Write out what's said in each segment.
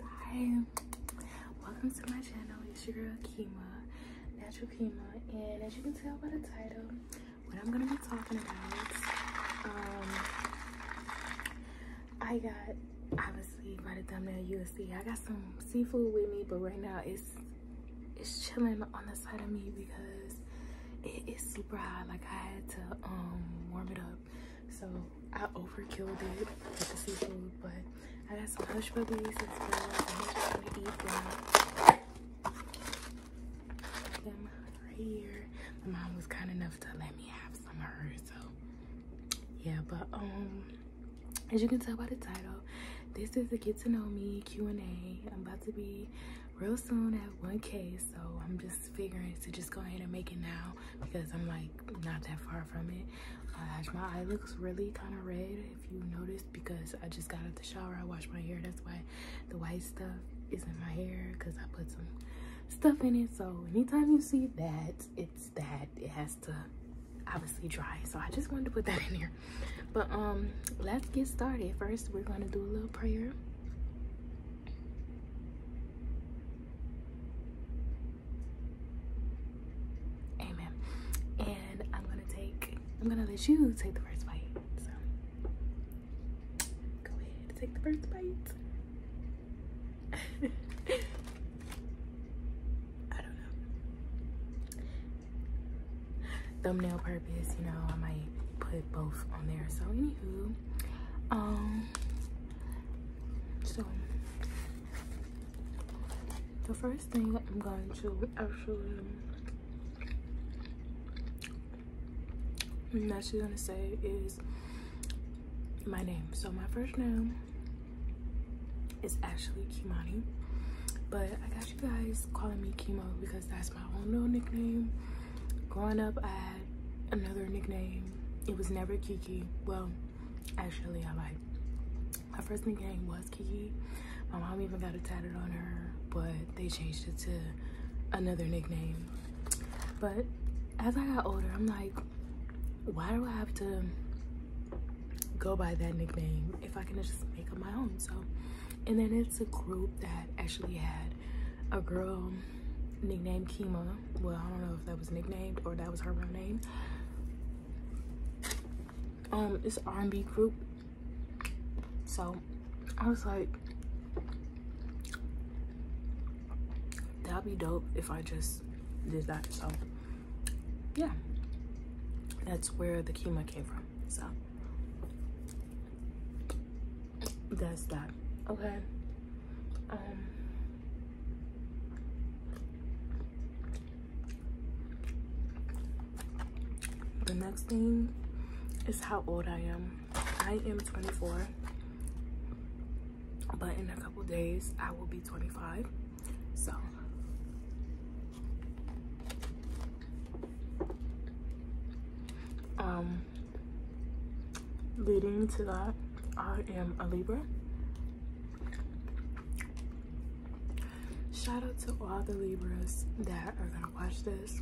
Hi, welcome to my channel. It's your girl Kima, Natural Kima, and as you can tell by the title, what I'm gonna be talking about, um, I got obviously by the thumbnail you will see I got some seafood with me, but right now it's it's chilling on the side of me because it is super hot. Like I had to um warm it up so I overkilled it with the seafood, but I got some hush puppies as well. I'm just gonna eat them. them right here. My mom was kind enough to let me have some of hers, so yeah. But um, as you can tell by the title, this is the Get to Know Me Q and A. I'm about to be real soon at 1K, so I'm just figuring to just go ahead and make it now because I'm like not that far from it. My eye looks really kind of red if you notice because I just got out the shower. I washed my hair. That's why the white stuff is in my hair because I put some stuff in it. So anytime you see that, it's that. It has to obviously dry. So I just wanted to put that in here. But um, let's get started. First, we're going to do a little prayer. Amen. And I'm gonna take, I'm gonna let you take the first bite. So go ahead, take the first bite. I don't know. Thumbnail purpose, you know, I might put both on there. So anywho, um, so the first thing I'm going to actually I'm actually gonna say is my name. So my first name is actually Kimani, but I got you guys calling me Chemo because that's my own little nickname. Growing up, I had another nickname. It was never Kiki. Well, Actually, I like My first nickname was Kiki. My mom even got it tatted on her, but they changed it to another nickname. But as I got older, I'm like, why do I have to go by that nickname if I can just make up my own? So, and then it's a group that actually had a girl nicknamed Kima well, I don't know if that was nicknamed or that was her real name. Um, it's R&B group. So I was like, that'd be dope if I just did that. So yeah, that's where the Kima came from. So that's that. Okay. Um, the next thing is how old I am. I am 24, but in a couple days I will be 25. So um, leading to that, I am a Libra. Shout out to all the Libras that are gonna watch this.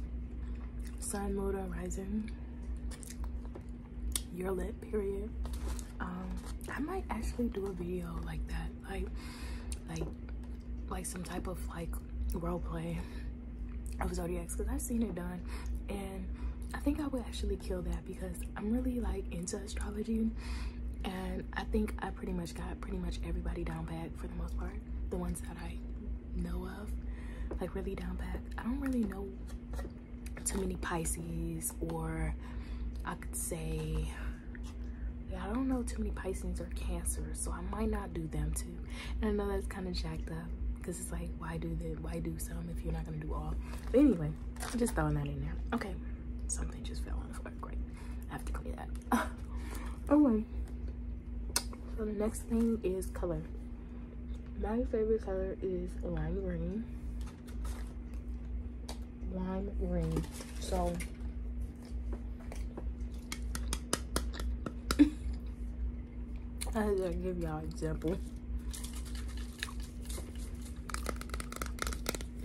Sun, Moon, and Rising. your are lit, period. Um, I might actually do a video like that, like, like, like some type of like role play of zodiacs because I've seen it done, and I think I would actually kill that because I'm really like into astrology and I think I pretty much got pretty much everybody down pat for the most part. The ones that I know of, like really down pat. I don't really know too many Pisces or I could say yeah, I don't know too many Pisces or Cancers, so I might not do them too. And I know that's kind of jacked up because it's like, why do that? Why do some if you're not gonna do all? anyway, I'm just throwing that in there. Okay. Something just fell on the floor. Great. I have to clean that. Alright. So the next thing is color. My favorite color is lime green. Lime green. So I had give y'all an example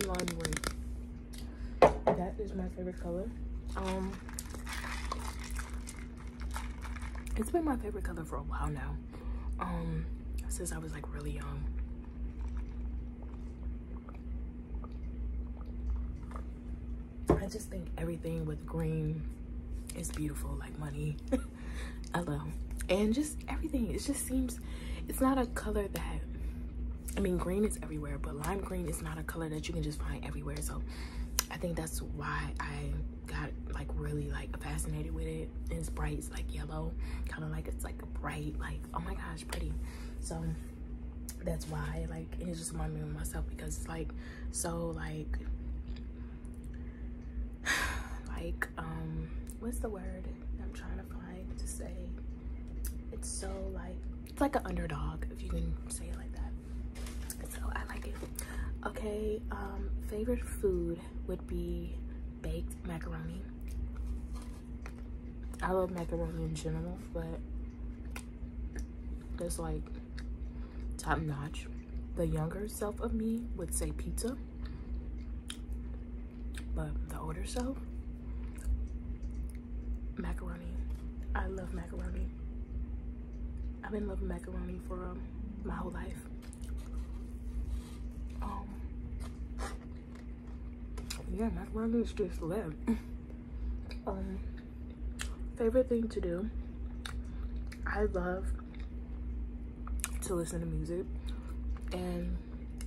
lime green. That is my favorite color. Um, it's been my favorite color for a while now. Um, since I was like really young. I just think everything with green is beautiful, like money. I And just everything. It's just seems it's not a color that I mean green is everywhere but lime green is not a color that you can just find everywhere so I think that's why I got like really like fascinated with it and it's bright it's like yellow kind of like it's like bright like oh my gosh pretty so that's why like it just reminded me of myself because it's like so like like um what's the word I'm trying to say it's so like it's like an underdog if you can say it like that so i like it okay um favorite food would be baked macaroni i love macaroni in general but it's like top notch the younger self of me would say pizza but the older self, macaroni. I love macaroni. I've been loving macaroni for um, my whole life. Um, yeah, macaroni is just lit. Um, favorite thing to do. I love to listen to music. And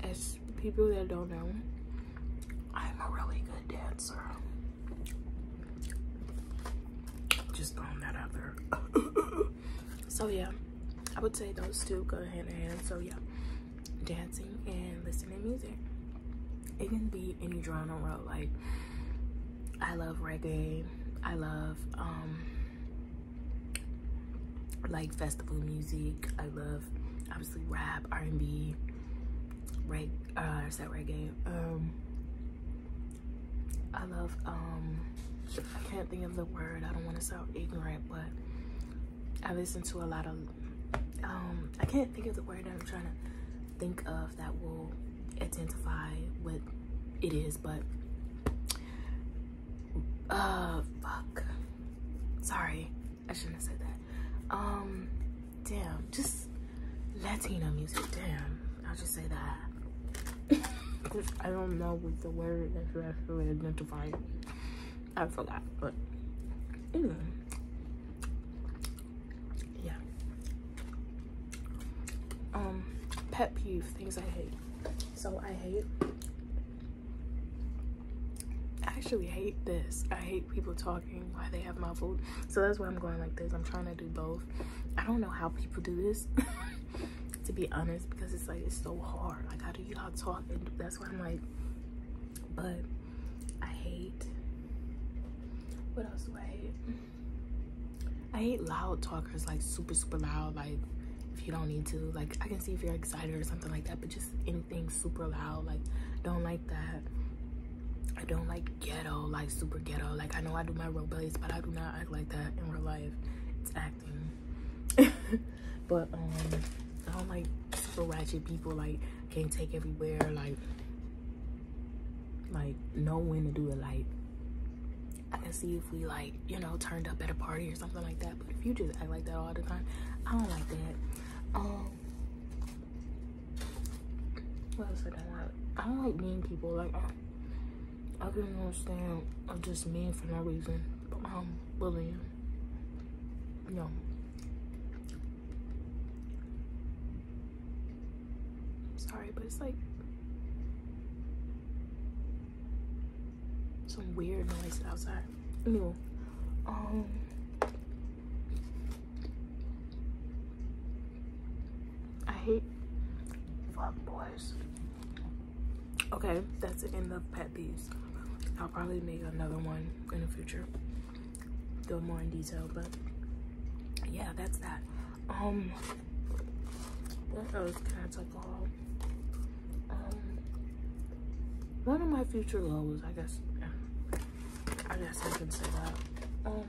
as people that don't know, I'm a really good dancer. Just throwing that out there. so yeah, I would say those two go hand in hand. So yeah, dancing and listening to music. It can be any genre, like I love reggae. I love um like festival music. I love obviously rap, R&B, reg uh is that reggae? Um I love um I can't think of the word. I don't want to sound ignorant, but I listen to a lot of um I can't think of the word that I'm trying to think of that will identify what it is, but uh fuck Sorry, I shouldn't have said that. Um, damn, just Latino music. Damn, I'll just say that. I don't know what the word that's actually identifying. I forgot, but anyway. Yeah. Um, pet peeve, things I hate. So I hate I actually hate this. I hate people talking Why they have my food. So that's why I'm going like this. I'm trying to do both. I don't know how people do this, to be honest, because it's like, it's so hard. Like, how do y'all talk? And that's why I'm like, but I hate, what else do I hate? I hate loud talkers, like super, super loud, like if you don't need to like i can see if you're excited or something like that but just anything super loud like don't like that i don't like ghetto like super ghetto like i know i do my roleplays but i do not act like that in real life it's acting but um i don't like super ratchet people like can't take everywhere like like know when to do it like i can see if we like you know turned up at a party or something like that but if you just act like that all the time i don't like that um what else did i like i don't like mean people like i, I couldn't understand i'm uh, just mean for no reason but i um bullying no sorry but it's like some weird noise outside. Anyway, um. I hate fuck boys. Okay, that's the end of pet peeves. I'll probably make another one in the future. Go more in detail, but yeah, that's that. Um, what can I talk um, one of my future goals, I guess. I guess I can say that. Um,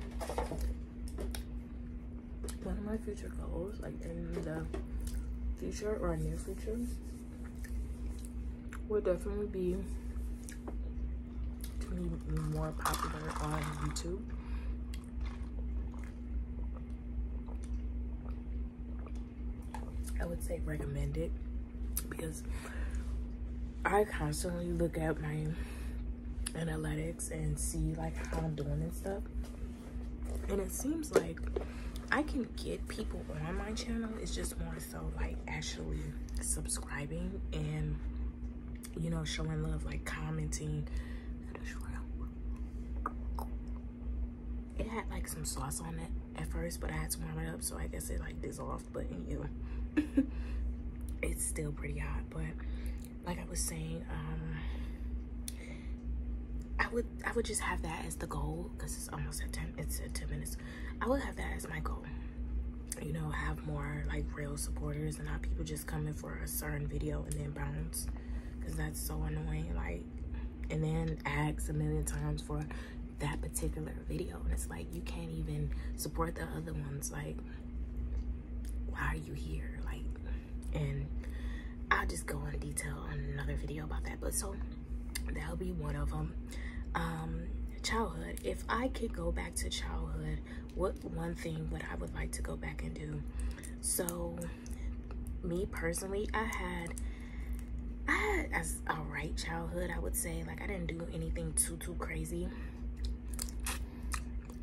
one of my future goals, like in the future or near future, will definitely be to be more popular on YouTube. I would say recommend it because I constantly look at my analytics and see like how I'm doing and stuff. And it seems like I can get people on my channel. It's just more so like actually subscribing and you know showing love, like commenting it had like some sauce on it at first, but I had to warm it up, so I guess it like dissolved, but anyway. it's still pretty hot, but like I was saying, um, I would I would just have that as the goal because it's almost at 10 it's at 10 minutes. I would have that as my goal. You know, have more like real supporters and not people just coming for a certain video and then bounce. Cause that's so annoying. Like and then asks a million times for that particular video and it's like you can't even support the other ones like why are you here like and i'll just go in detail on another video about that but so that'll be one of them um childhood if i could go back to childhood what one thing would i would like to go back and do so me personally, I had I had as a right childhood, I would say. Like I didn't do anything too too crazy.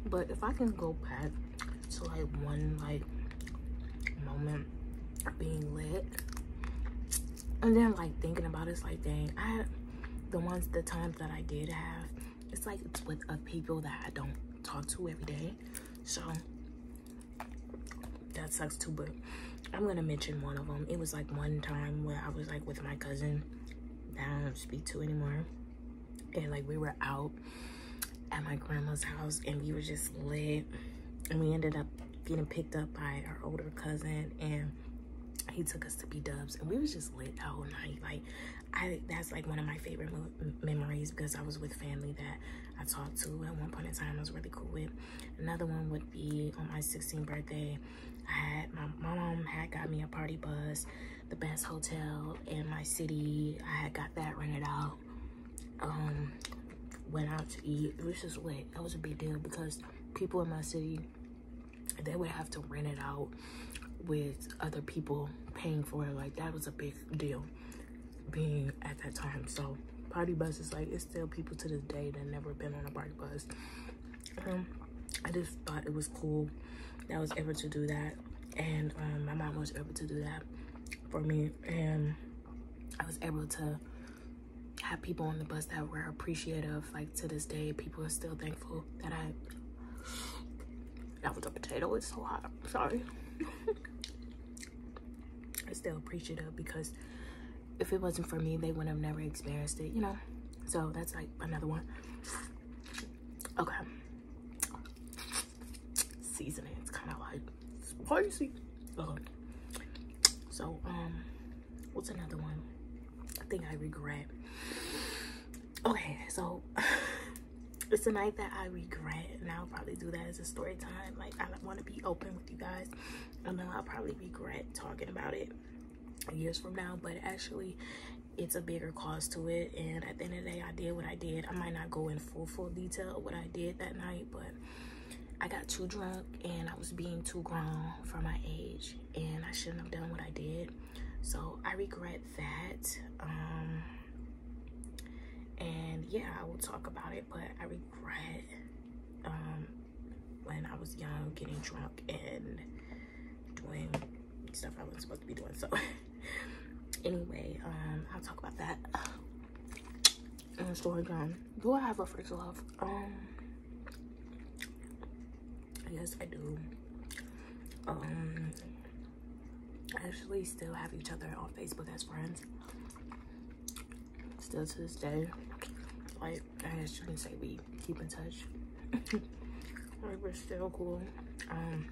But if I can go back to like one like moment being lit and then like thinking about it, it's like dang I the ones the times that I did have it's like it's with uh, people that I don't talk to every day. So that sucks too but i'm gonna mention one of them it was like one time where i was like with my cousin that i don't speak to anymore and like we were out at my grandma's house and we were just lit and we ended up getting picked up by our older cousin and he took us to be Dubs and we was just lit the whole night. Like, I that's like one of my favorite memories because I was with family that I talked to at one point in time. I was really cool with, Another one would be on my 16th birthday. I had my, mom had got me a party bus, the best hotel in my city. I had got that rented out. Um, went out to eat. It was just lit. That was a big deal because people in my city, they would have to rent it out with other people paying for it. Like that was a big deal being at that time. So party buses, like it's still people to this day that never been on a party bus. Um, I just thought it was cool that was able to do that. And um, my mom was able to do that for me. And I was able to have people on the bus that were appreciative. Like to this day, people are still thankful that I, that was a potato, it's so hot, sorry. I'm still appreciative because if it wasn't for me, they would have never experienced it, you know? So that's like another one. Okay. Seasoning, it's kind of like spicy. So, um, what's another one? I think I regret. Okay, so it's a night that I regret, and I'll probably do that as a story time. Like, I want to be open with you guys. I know I'll probably regret talking about it years from now, but actually it's a bigger cause to it. And at the end of the day, I did what I did. I might not go in full, full detail of what I did that night, but I got too drunk and I was being too grown for my age and I shouldn't have done what I did. So I regret that. Um, and yeah, I will talk about it, but I regret um, when I was young getting drunk and doing stuff I wasn't supposed to be doing. So anyway, um, I'll talk about that in a story time. Do I have a first love? Um, yes, I do. Um, actually still have each other on Facebook as friends still to this day. Like, as you can say we keep in touch. we're still cool. Um,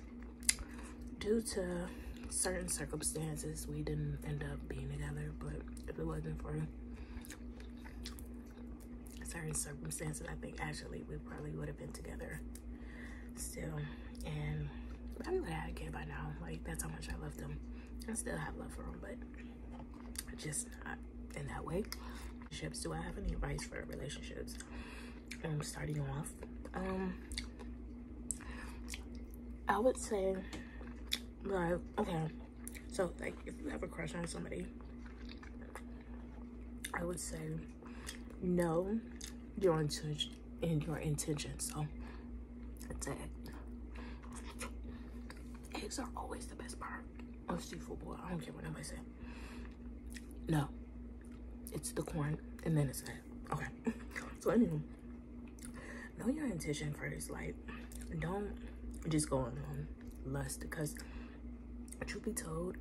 due to certain circumstances, we didn't end up being together, but if it wasn't for certain circumstances, I think actually we probably would have been together still. And probably would have had a by now. Like, that's how much I love them. I still have love for them, but just not in that way. Relationships, do I have any advice for relationships? I'm um, starting off, um, I would say, like, okay, so like if you have a crush on somebody, I would say, no, your intention and your intention. So it's egg. Eggs are always the best part of seafood boil. I don't care what nobody say. No. It's the corn and then it's that. Okay. So anyway, know your intention first. Like, don't just go on lust because truth be told,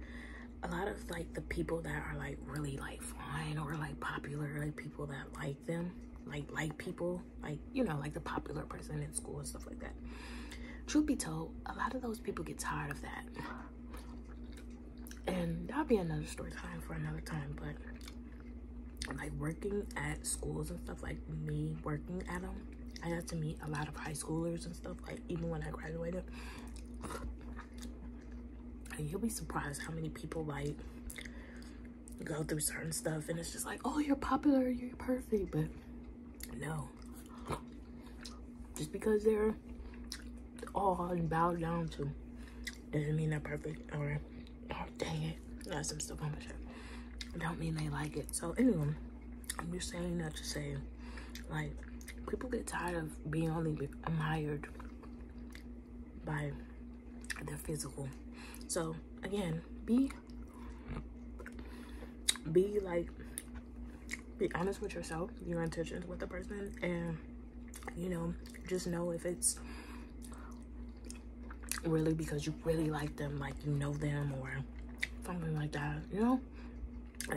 a lot of like the people that are like really like fine or like popular, like people that like them, like like people like, you know, like the popular person in school and stuff like that. Truth be told, a lot of those people get tired of that. And that'll be another story time for another time, but like working at schools and stuff, like me working at them, I got to meet a lot of high schoolers and stuff, like even when I graduated. you'll be surprised how many people like go through certain stuff and it's just like, oh, you're popular, you're perfect. But no, just because they're all and down to doesn't mean they're perfect or, oh, dang it, got some stuff on my shirt. Don't mean they like it. So anyway, I'm just saying that to say, like, people get tired of being only admired by the physical so again be be like be honest with yourself your intentions with the person and you know just know if it's really because you really like them like you know them or something like that you know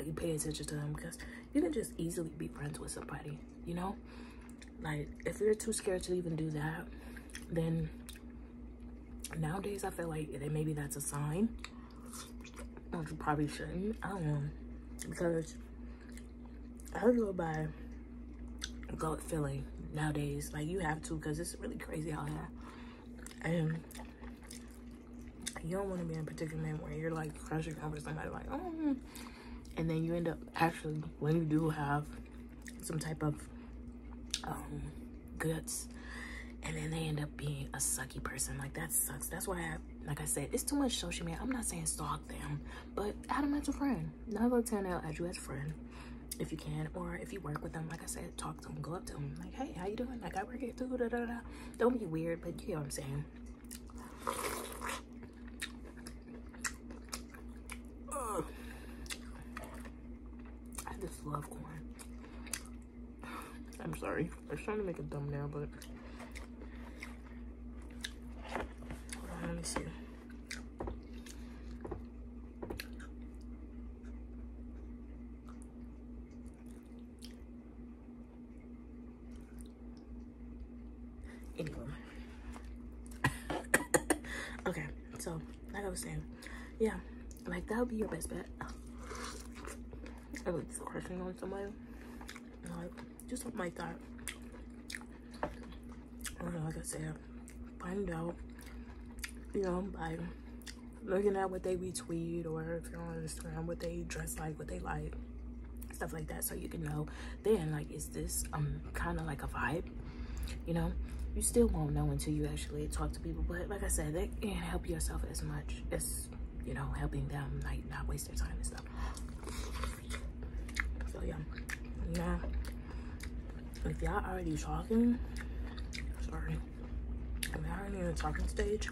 you pay attention to them because you can just easily be friends with somebody you know like, if you're too scared to even do that, then nowadays I feel like maybe that's a sign. Which you probably shouldn't. I don't know. Because I go by gut feeling nowadays. Like, you have to because it's really crazy out here. And you don't want to be in a predicament where you're like crushing over somebody like, oh. And then you end up actually, when you do have some type of um, goods and then they end up being a sucky person like that sucks that's why I, like i said it's too much social media i'm not saying stalk them but add them as a friend nine out of ten they'll you as friend if you can or if you work with them like i said talk to them go up to them like hey how you doing like i work here too da, don't be weird but you know what i'm saying I just love corn. I'm sorry. I was trying to make a thumbnail, but let me see. Anyway. okay, so like I was saying, yeah, like that will be your best bet. I was crushing on somebody, like just something like that. like I said, find out, you know, by looking at what they retweet or if you're on Instagram, what they dress like, what they like, stuff like that, so you can know. Then, like, is this um kind of like a vibe? you know you still won't know until you actually talk to people but like i said they can help yourself as much as you know helping them like not waste their time and stuff so yeah yeah if y'all already talking sorry i'm mean, already in the talking stage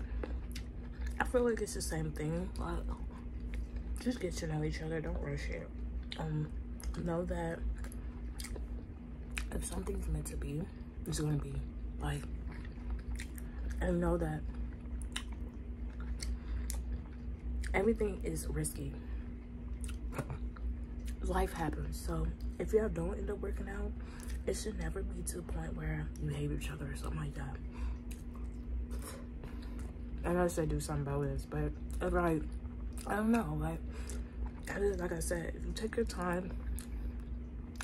i feel like it's the same thing just get to know each other don't rush it um know that if something's meant to be, it's gonna be. Like, I know that everything is risky. Life happens. So if y'all don't end up working out, it should never be to a point where you hate each other or something like that. I know I say do something about this, but like, I don't know, like that is like i said if you take your time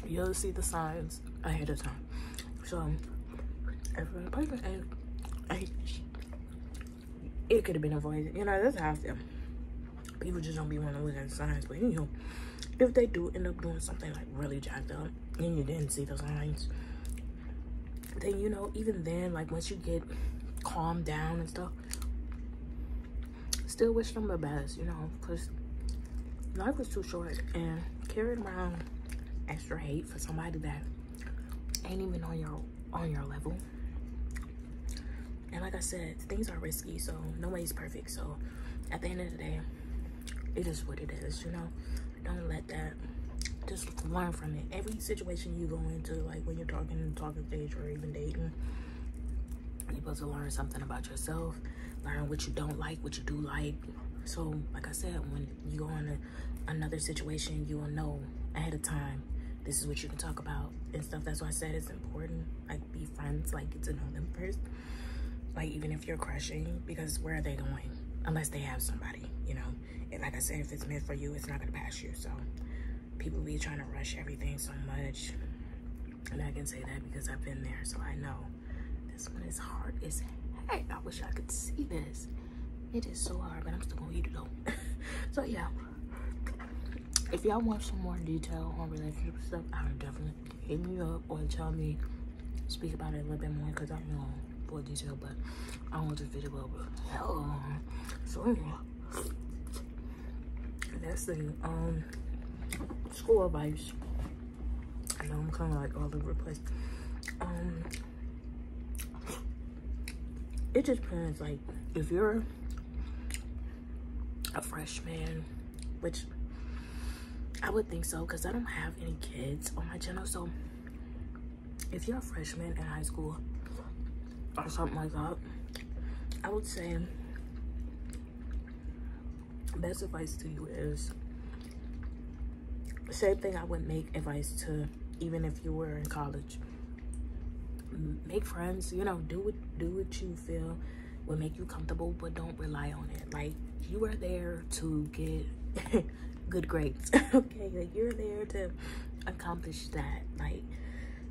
you'll see the signs ahead of time so every appointment I, I, it could have been avoided you know this house. people just don't be wanting to look at signs but you know if they do end up doing something like really jacked up and you didn't see the signs then you know even then like once you get calmed down and stuff Still wish them the best, you know, because life is too short. And carrying around extra hate for somebody that ain't even on your on your level. And like I said, things are risky, so nobody's perfect. So at the end of the day, it is what it is, you know? Don't let that, just learn from it. Every situation you go into, like when you're talking and talking stage or even dating, you're supposed to learn something about yourself, learn what you don't like, what you do like. So, like I said, when you go in another situation, you will know ahead of time this is what you can talk about and stuff. That's why I said it's important. Like, be friends, like, get to know them first. Like, even if you're crushing, because where are they going? Unless they have somebody, you know? And like I said, if it's meant for you, it's not going to pass you. So, people be trying to rush everything so much. And I can say that because I've been there, so I know. This one is hard as heck. I wish I could see this. It is so hard, but I'm still gonna eat it though. so yeah. If y'all want some more detail on relationship stuff, I'm definitely hit me up or tell me, speak about it a little bit more because I know full detail, but I want this video over. So yeah. That's the um school advice. I know I'm kind of like all over the place. Um, it just depends. Like, if you're a freshman, which I would think so, because I don't have any kids on my channel. So, if you're a freshman in high school, or something like that. I would say best advice to you is same thing I would make advice to even if you were in college. Make friends, you know, do what do what you feel will make you comfortable, but don't rely on it. Like you are there to get good grades. okay, like you're there to accomplish that. Like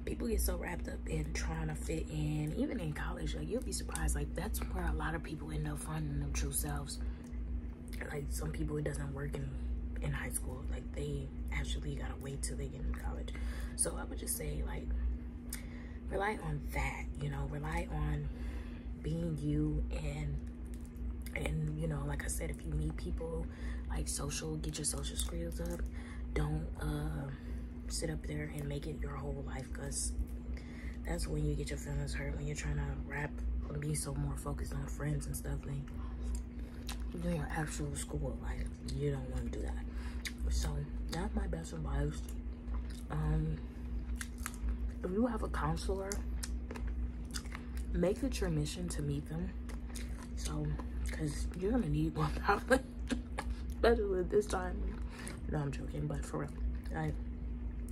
people get so wrapped up in trying to fit in even in college like you'll be surprised like that's where a lot of people end up finding their true selves like some people it doesn't work in in high school like they actually gotta wait till they get in college so i would just say like rely on that you know rely on being you and and you know like i said if you meet people like social get your social skills up don't uh, sit up there and make it your whole life because that's when you get your feelings hurt when you're trying to rap be so more focused on friends and stuff and doing your actual school life you don't want to do that so that's my best advice um, if you have a counselor make it your mission to meet them so because you're gonna need one especially this time. No, I'm joking, but for real, like,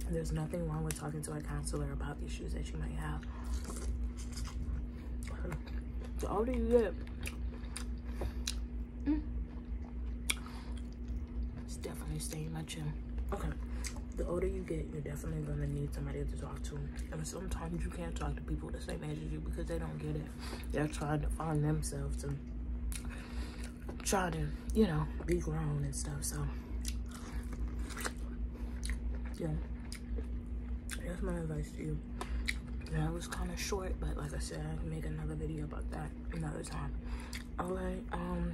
there's nothing wrong with talking to a counselor about issues that you might have. The older you get, it's definitely staying my chin. Okay, the older you get, you're definitely gonna need somebody to talk to, and sometimes you can't talk to people the same age as you because they don't get it they're trying to find themselves to try to, you know, be grown and stuff. So, yeah, that's my advice to you. That was kind of short, but like I said, I can make another video about that another time. All right, um,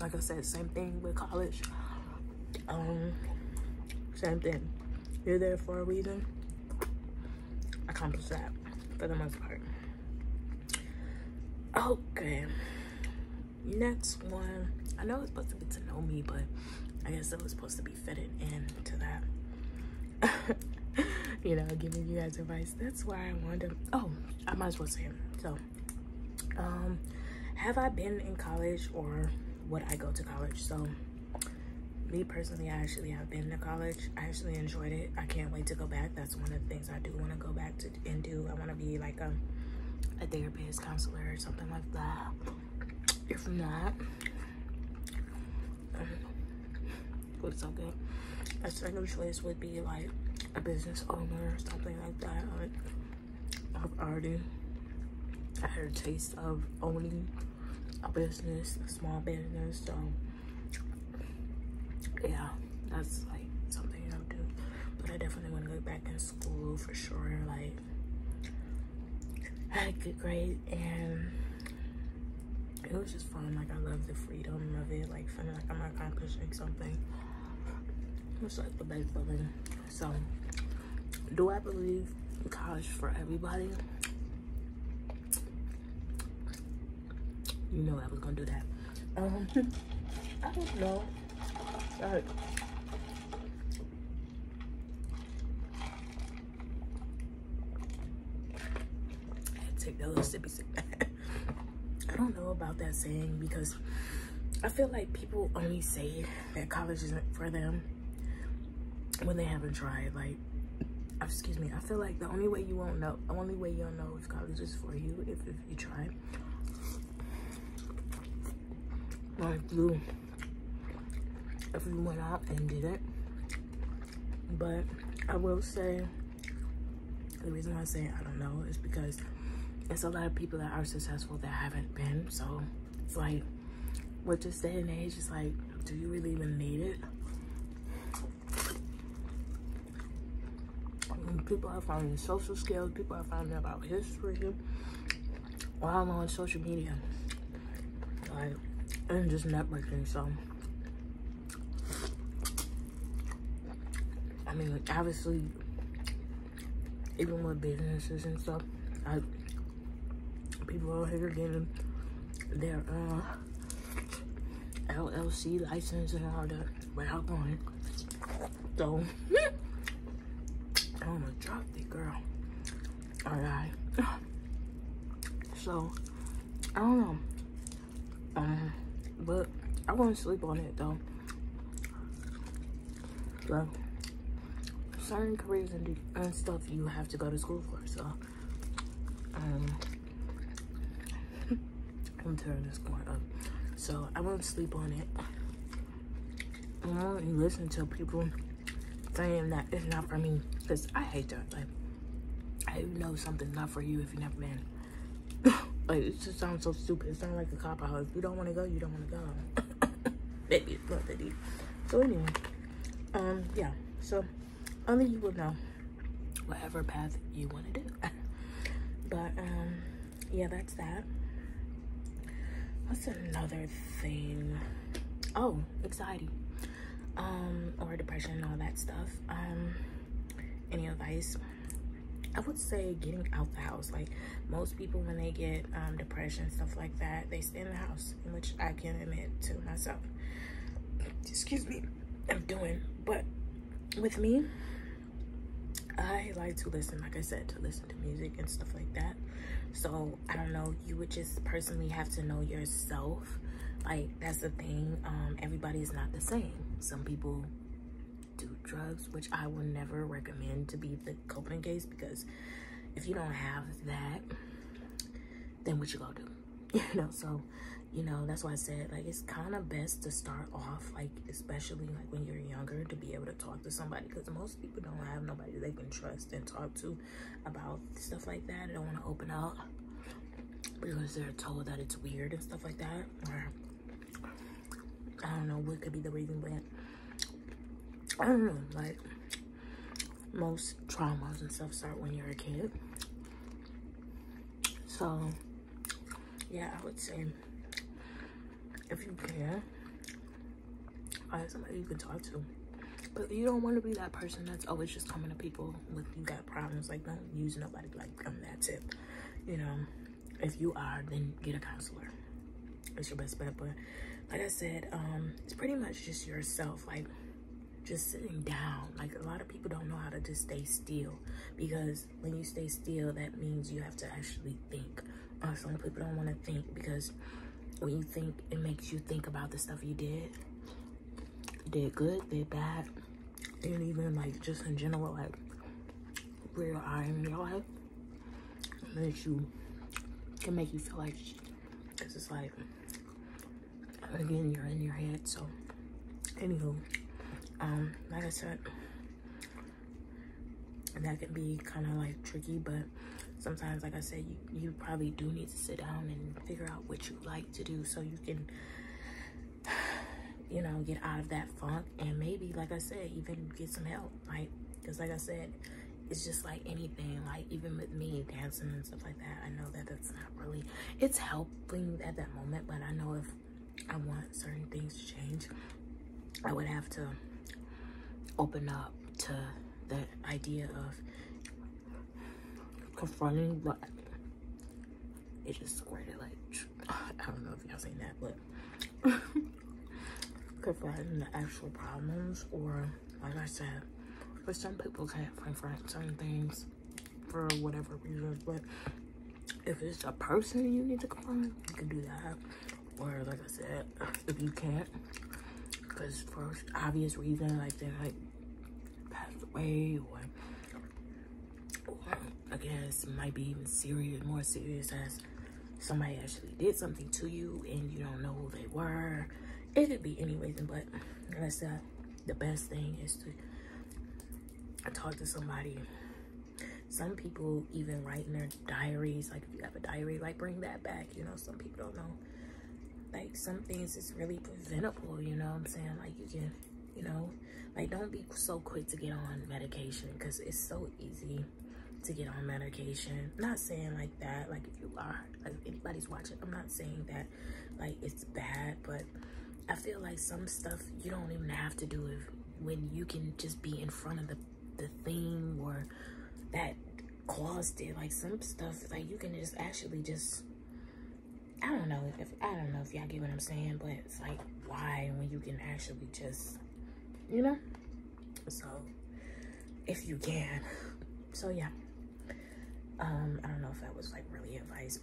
like I said, same thing with college. Um, same thing. You're there for a reason accomplish that for the most part. Okay, next one. I know it's supposed to be to know me, but I guess it was supposed to be fitted to that. you know, giving you guys advice. That's why I wanted. oh, I might as well say So, um, have I been in college or would I go to college? So, me personally, I actually have been to college. I actually enjoyed it. I can't wait to go back. That's one of the things I do want to go back to and do. I want to be like a, um, a therapist, counselor, or something like that. If not, um, what's so good? My second choice would be like a business owner or something like that. I've already had a taste of owning a business, a small business. So yeah, that's like something I'll do. But I definitely want to go back in school for sure. Like I had a good grade and it was just fun. Like I love the freedom of it. Like feeling like I'm accomplishing something. It's like the best feeling. So do I believe college for everybody? You know I was gonna do that. Um, I don't know. take that little sippy sip. I don't know about that saying because I feel like people only say that college isn't for them when they haven't tried. Like, uh, excuse me, I feel like the only way you won't know, the only way you'll know if college is for you, if, if you try. Like blue. if went out and did it. But I will say, the reason I say I don't know is because it's a lot of people that are successful that haven't been. So it's like, with this day and age, it's like, do you really even need it? People are finding social skills, people are finding about history while on social media. Like, and just networking, so. I mean, obviously, even with businesses and stuff, I People out here getting their uh, LLC license and all that without going. So, I'm gonna drop the girl. Alright. So, I don't know. Um, but I won't sleep on it though. But certain careers and, stuff you have to go to school for. So, um, I'm tearing this corn up. So I won't sleep on it. I won't listen to people saying that it's not for me because I hate that. Like, I know something's not for you if you never been. like, it just sounds so stupid. It sounds like a cop out. If you don't want to go, you don't want to go. Baby, it's not that deep. So anyway um yeah so only you will know um, whatever path you want to do but um yeah that's that what's another thing oh anxiety um or depression and all that stuff um any advice I would say getting out the house. Like most people, when they get um, depression, stuff like that, they in the house, in which I can admit to myself, excuse me, I'm doing. But with me, I like to listen, like I said, to listen to music and stuff like that. So I don't know, you would just personally have to know yourself. Like that's the thing, um, is not the same. Some people do drugs, which I will never recommend to be the coping case because if you don't have that, then what you gonna do? You know, so, you know, that's why I said, like, it's kind of best to start off, like, especially, like, when you're younger, to be able to talk to somebody. Because most people don't have nobody they can trust and talk to about stuff like that. They don't want to open up because they're told that it's weird and stuff like that. Or, I don't know what could be the reason, but I don't know. Like, most traumas and stuff start when you're a kid. So, yeah, I would say if you care, find somebody you can talk to. But you don't want to be that person that's always just coming to people with you got problems. Like, don't use nobody like them. that tip. You know, if you are, then get a counselor. It's your best bet. But like I said, um, it's pretty much just yourself. Like, just sitting down. Like a lot of people don't know how to just stay still because when you stay still, that means you have to actually think. Uh, some people don't want to think because when you think, it makes you think about the stuff you did. Did good, did bad, and even like just in general, like where I am in your life, makes you can make you feel like, cause it's like again you're in your head so anywho um, like i said that can be kind of like tricky but sometimes like i said you probably do need to sit down and figure out what you like to do so you can you know get out of that funk and maybe like i said even get some help right because like i said it's just like anything like even with me dancing and stuff like that i know that that's not really it's helping at that moment but i know if i want certain things to change i would have to open up to the idea of confronting but it just it like i don't know if y'all seen that but confronting the actual problems or like I said, but some people can't find certain things for whatever reasons. But if it's a person you need to confront, you can do that. Or like I said, if you can't, because for obvious reason, like they like passed away or I guess might be even serious, more serious as somebody actually did something to you and you don't know who they were it could be any reason, but like I said, the best thing is to talk to somebody. Some people even write in their diaries, like if you have a diary, like bring that back. You know, some people don't know. Like some things is really preventable, you know what I'm saying? Like you can, you know, like don't be so quick to get on medication because it's so easy to get on medication. Not saying like that, like if you are like if anybody's watching i'm not saying that like it's bad but i feel like some stuff you don't even have to do it when you can just be in front of the the thing or that caused it like some stuff like you can just actually just i don't know if i don't know if y'all get what i'm saying but it's like why when you can actually just you know so if you can so yeah um, I don't know if that was like really advice,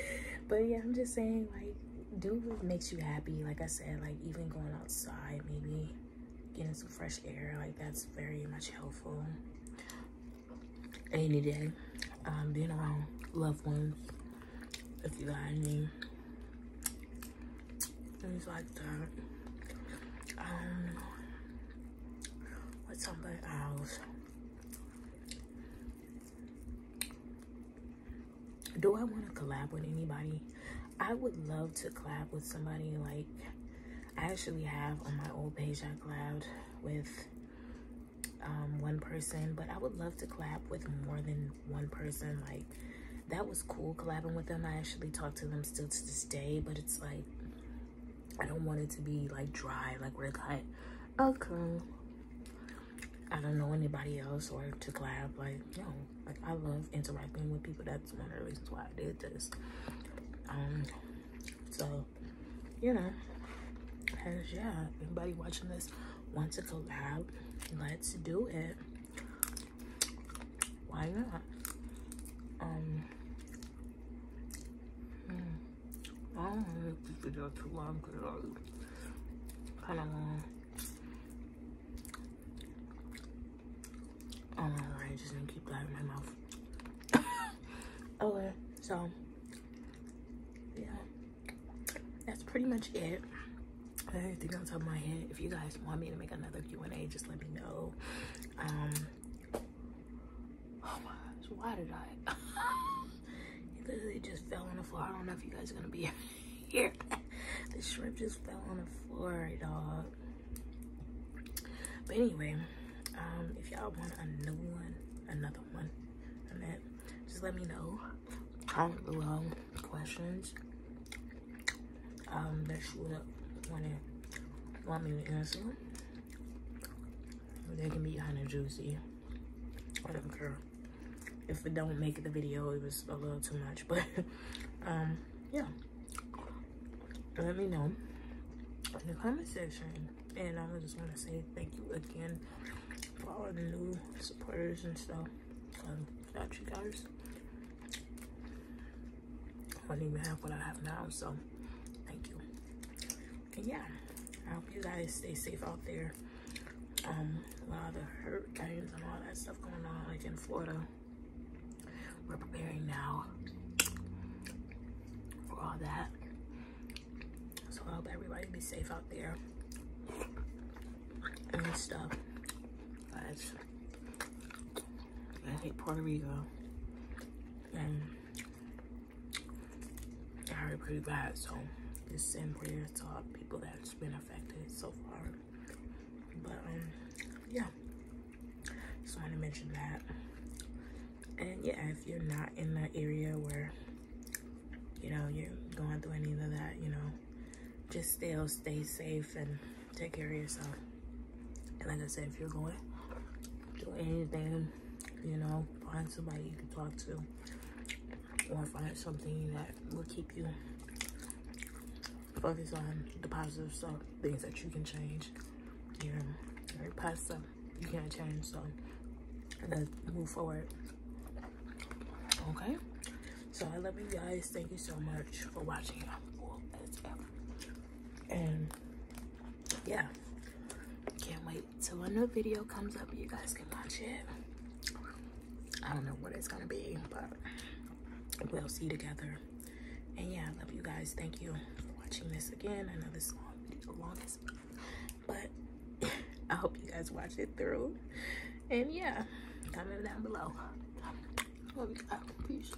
but, yeah, I'm just saying like do what makes you happy. Like I said, like even going outside, maybe getting some fresh air, like that's very much helpful. Any day, um, being around loved ones, if you got any, things like that. Um, with somebody else. Do I want to collab with anybody? I would love to collab with somebody like I actually have on my old page I collabed with um, one person, but I would love to collab with more than one person. Like that was cool collabing with them. I actually talk to them still to this day, but it's like I don't want it to be like dry, like we're okay. I don't know anybody else or to collab. Like, no, like I love interacting with people. That's one of the reasons why I did this. Um, so you know, as yeah, anybody watching this wants to collab, let's do it. Why not? Um, Mm. I don't want to make this video too long because it's kind of long. Oh my god, I just didn't keep that in my mouth. okay, so, yeah. That's pretty much it. I anything on top of my head. If you guys want me to make another Q&A, just let me know. Um, Oh my gosh, why did I? it literally just fell on the floor. I don't know if you guys are gonna be here. the shrimp just fell on the floor, dog. But anyway, um, if y'all want a new one, another one, and that, just let me know. Comment below questions um, that you want, to, want me to answer. They can be kind of juicy. I don't care. If it don't make the video, it was a little too much. But, um, yeah. Let me know in the comment section. And I just want to say thank you again for all the new supporters and stuff. without you guys, I don't even have what I have now, so thank you. And yeah, I hope you guys stay safe out there. Um, a lot of the hurricanes and all that stuff going on, like in Florida. We're preparing now for all that. So I hope everybody be safe out there and stuff. Guys, I hate Puerto Rico. And I already prayed God, so it's in prayer to all people that's been affected so far. But um, yeah, just want to mention that. And yeah, if you're not in that area where you know you're going through any of that, you know, just still stay safe and take care of yourself. And like I said, if you're going do anything, you know, find somebody you can talk to or find something that will keep you focused on the positive stuff, things that you can change. Your, your past stuff you can't change, so let's move forward. Okay? So I love you guys. Thank you so much for watching. And yeah can't wait till a new video comes up you guys can watch it i don't know what it's gonna be but we'll see together and yeah i love you guys thank you for watching this again i know this is long video longest but i hope you guys watch it through and yeah comment down below peace